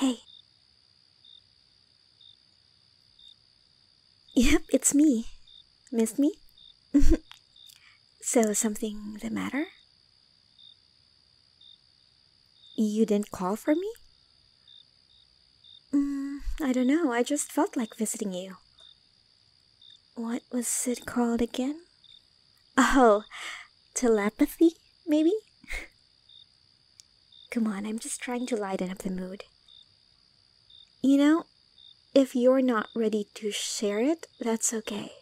Hey. Yep, it's me. Miss me? so, something the matter? You didn't call for me? Mm, I don't know. I just felt like visiting you. What was it called again? Oh, telepathy, maybe? Come on, I'm just trying to lighten up the mood. You know, if you're not ready to share it, that's okay.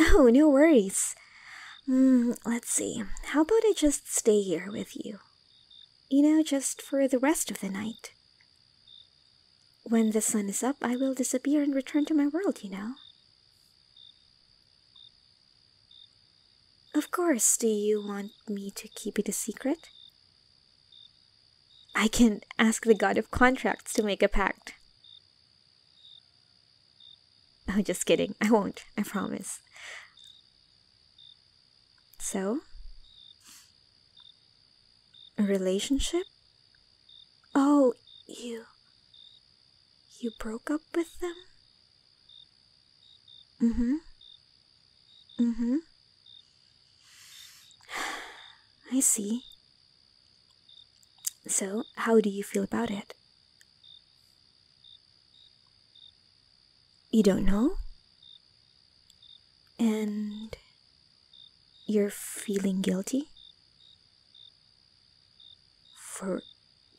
Oh, no worries. Hmm, let's see. How about I just stay here with you? You know, just for the rest of the night. When the sun is up, I will disappear and return to my world, you know. Of course, do you want me to keep it a secret? I can ask the god of contracts to make a pact. I'm just kidding. I won't. I promise. So? A relationship? Oh, you. You broke up with them? Mm hmm. Mm hmm. I see. So, how do you feel about it? You don't know? And you're feeling guilty? For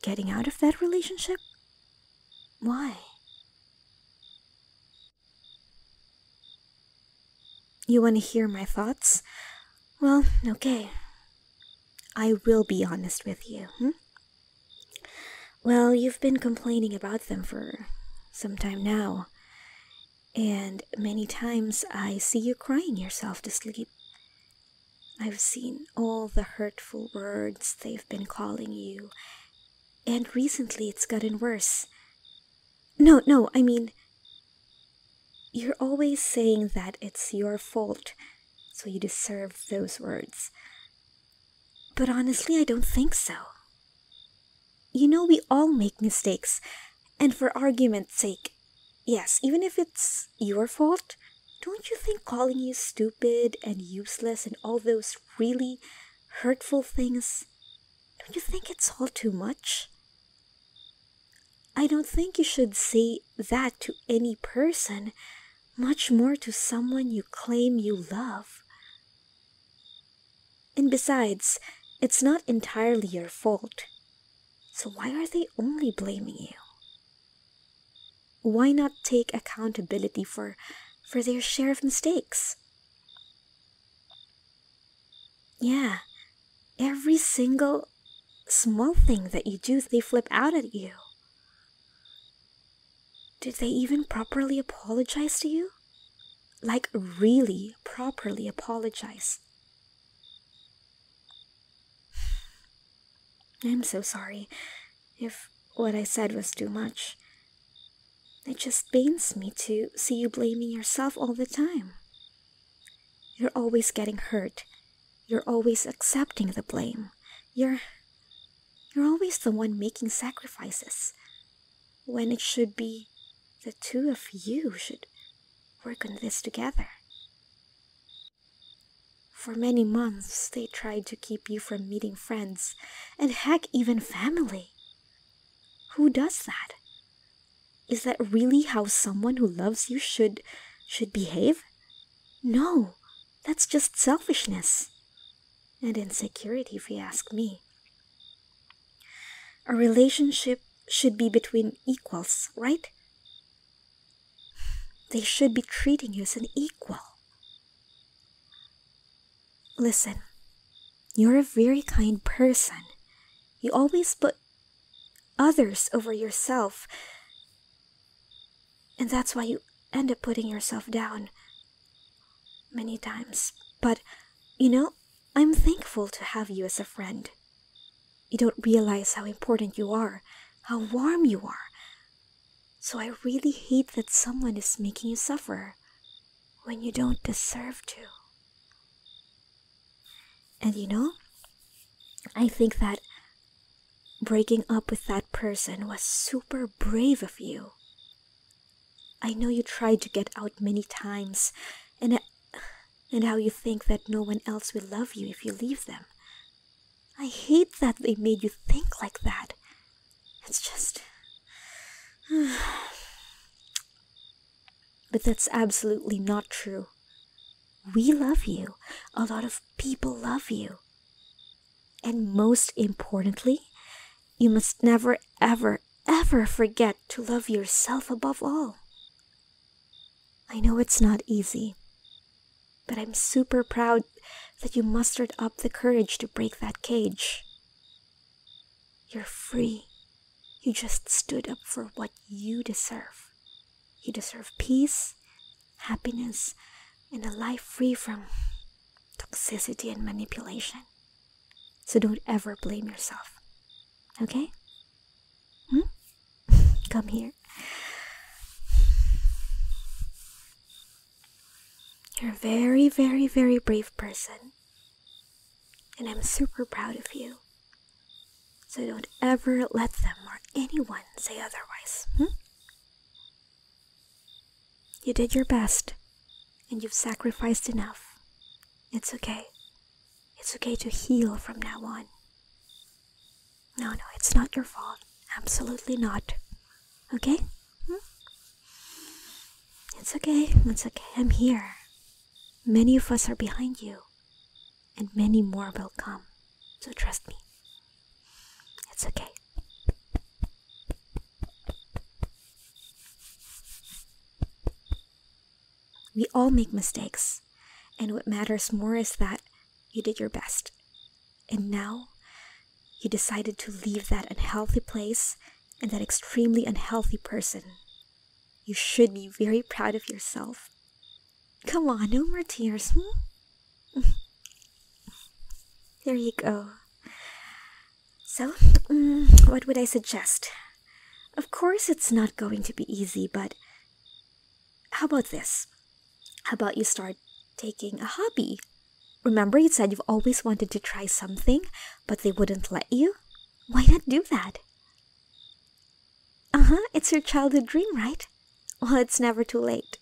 getting out of that relationship? Why? You want to hear my thoughts? Well, okay. I will be honest with you. Hmm? Well, you've been complaining about them for some time now, and many times I see you crying yourself to sleep. I've seen all the hurtful words they've been calling you, and recently it's gotten worse. No, no, I mean, you're always saying that it's your fault, so you deserve those words. But honestly, I don't think so. You know, we all make mistakes, and for argument's sake, yes, even if it's your fault, don't you think calling you stupid and useless and all those really hurtful things, don't you think it's all too much? I don't think you should say that to any person, much more to someone you claim you love. And besides, it's not entirely your fault. So why are they only blaming you? Why not take accountability for for their share of mistakes? Yeah, every single small thing that you do, they flip out at you. Did they even properly apologize to you? Like, really properly apologize. I'm so sorry if what I said was too much. It just pains me to see you blaming yourself all the time. You're always getting hurt. You're always accepting the blame. You're. You're always the one making sacrifices. When it should be the two of you should work on this together. For many months, they tried to keep you from meeting friends and heck, even family. Who does that? Is that really how someone who loves you should should behave? No, that's just selfishness and insecurity if you ask me. A relationship should be between equals, right? They should be treating you as an equal. Listen, you're a very kind person, you always put others over yourself. And that's why you end up putting yourself down many times. But, you know, I'm thankful to have you as a friend. You don't realize how important you are, how warm you are. So I really hate that someone is making you suffer when you don't deserve to. And you know, I think that breaking up with that person was super brave of you. I know you tried to get out many times and and how you think that no one else will love you if you leave them. I hate that they made you think like that. It's just but that's absolutely not true. We love you. A lot of people love you. And most importantly, you must never, ever, ever forget to love yourself above all. I know it's not easy, but I'm super proud that you mustered up the courage to break that cage. You're free. You just stood up for what you deserve. You deserve peace, happiness, and a life free from toxicity and manipulation. So don't ever blame yourself. Okay? Hmm? Come here. You're a very, very, very brave person. And I'm super proud of you. So don't ever let them or anyone say otherwise. Hmm? You did your best, and you've sacrificed enough. It's okay. It's okay to heal from now on. No, no, it's not your fault. Absolutely not. Okay? It's okay, it's okay, I'm here. Many of us are behind you, and many more will come, so trust me. It's okay. We all make mistakes, and what matters more is that you did your best and now you decided to leave that unhealthy place and that extremely unhealthy person. You should be very proud of yourself. Come on, no more tears. Hmm? there you go. So, mm, what would I suggest? Of course, it's not going to be easy, but how about this? How about you start taking a hobby? Remember, you said you've always wanted to try something, but they wouldn't let you? Why not do that? Uh huh, it's your childhood dream, right? Well, it's never too late.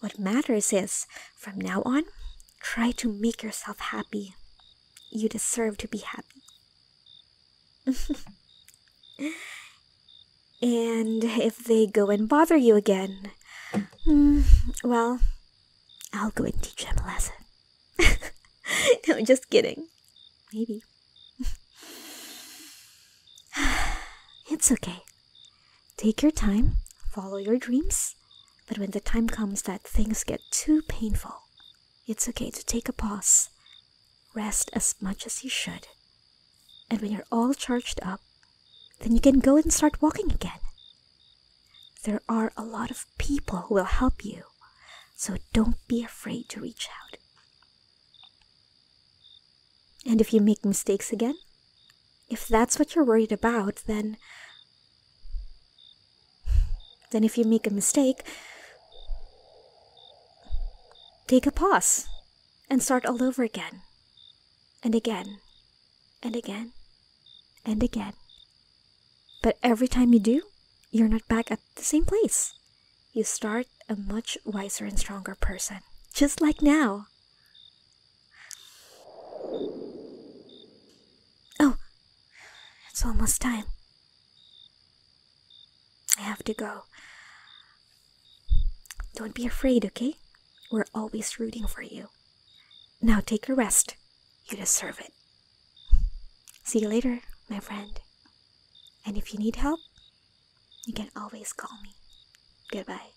What matters is, from now on, try to make yourself happy. You deserve to be happy. And if they go and bother you again, mm, well, I'll go and teach them a lesson. no, just kidding. Maybe. it's okay. Take your time, follow your dreams, but when the time comes that things get too painful, it's okay to take a pause. Rest as much as you should. And when you're all charged up, then you can go and start walking again. There are a lot of people who will help you, so don't be afraid to reach out. And if you make mistakes again, if that's what you're worried about, then. Then if you make a mistake, take a pause and start all over again and again and again and again. But every time you do, you're not back at the same place. You start a much wiser and stronger person, just like now. Oh, it's almost time. I have to go. Don't be afraid, okay? We're always rooting for you. Now take a rest. You deserve it. See you later, my friend. And if you need help, you can always call me. Goodbye.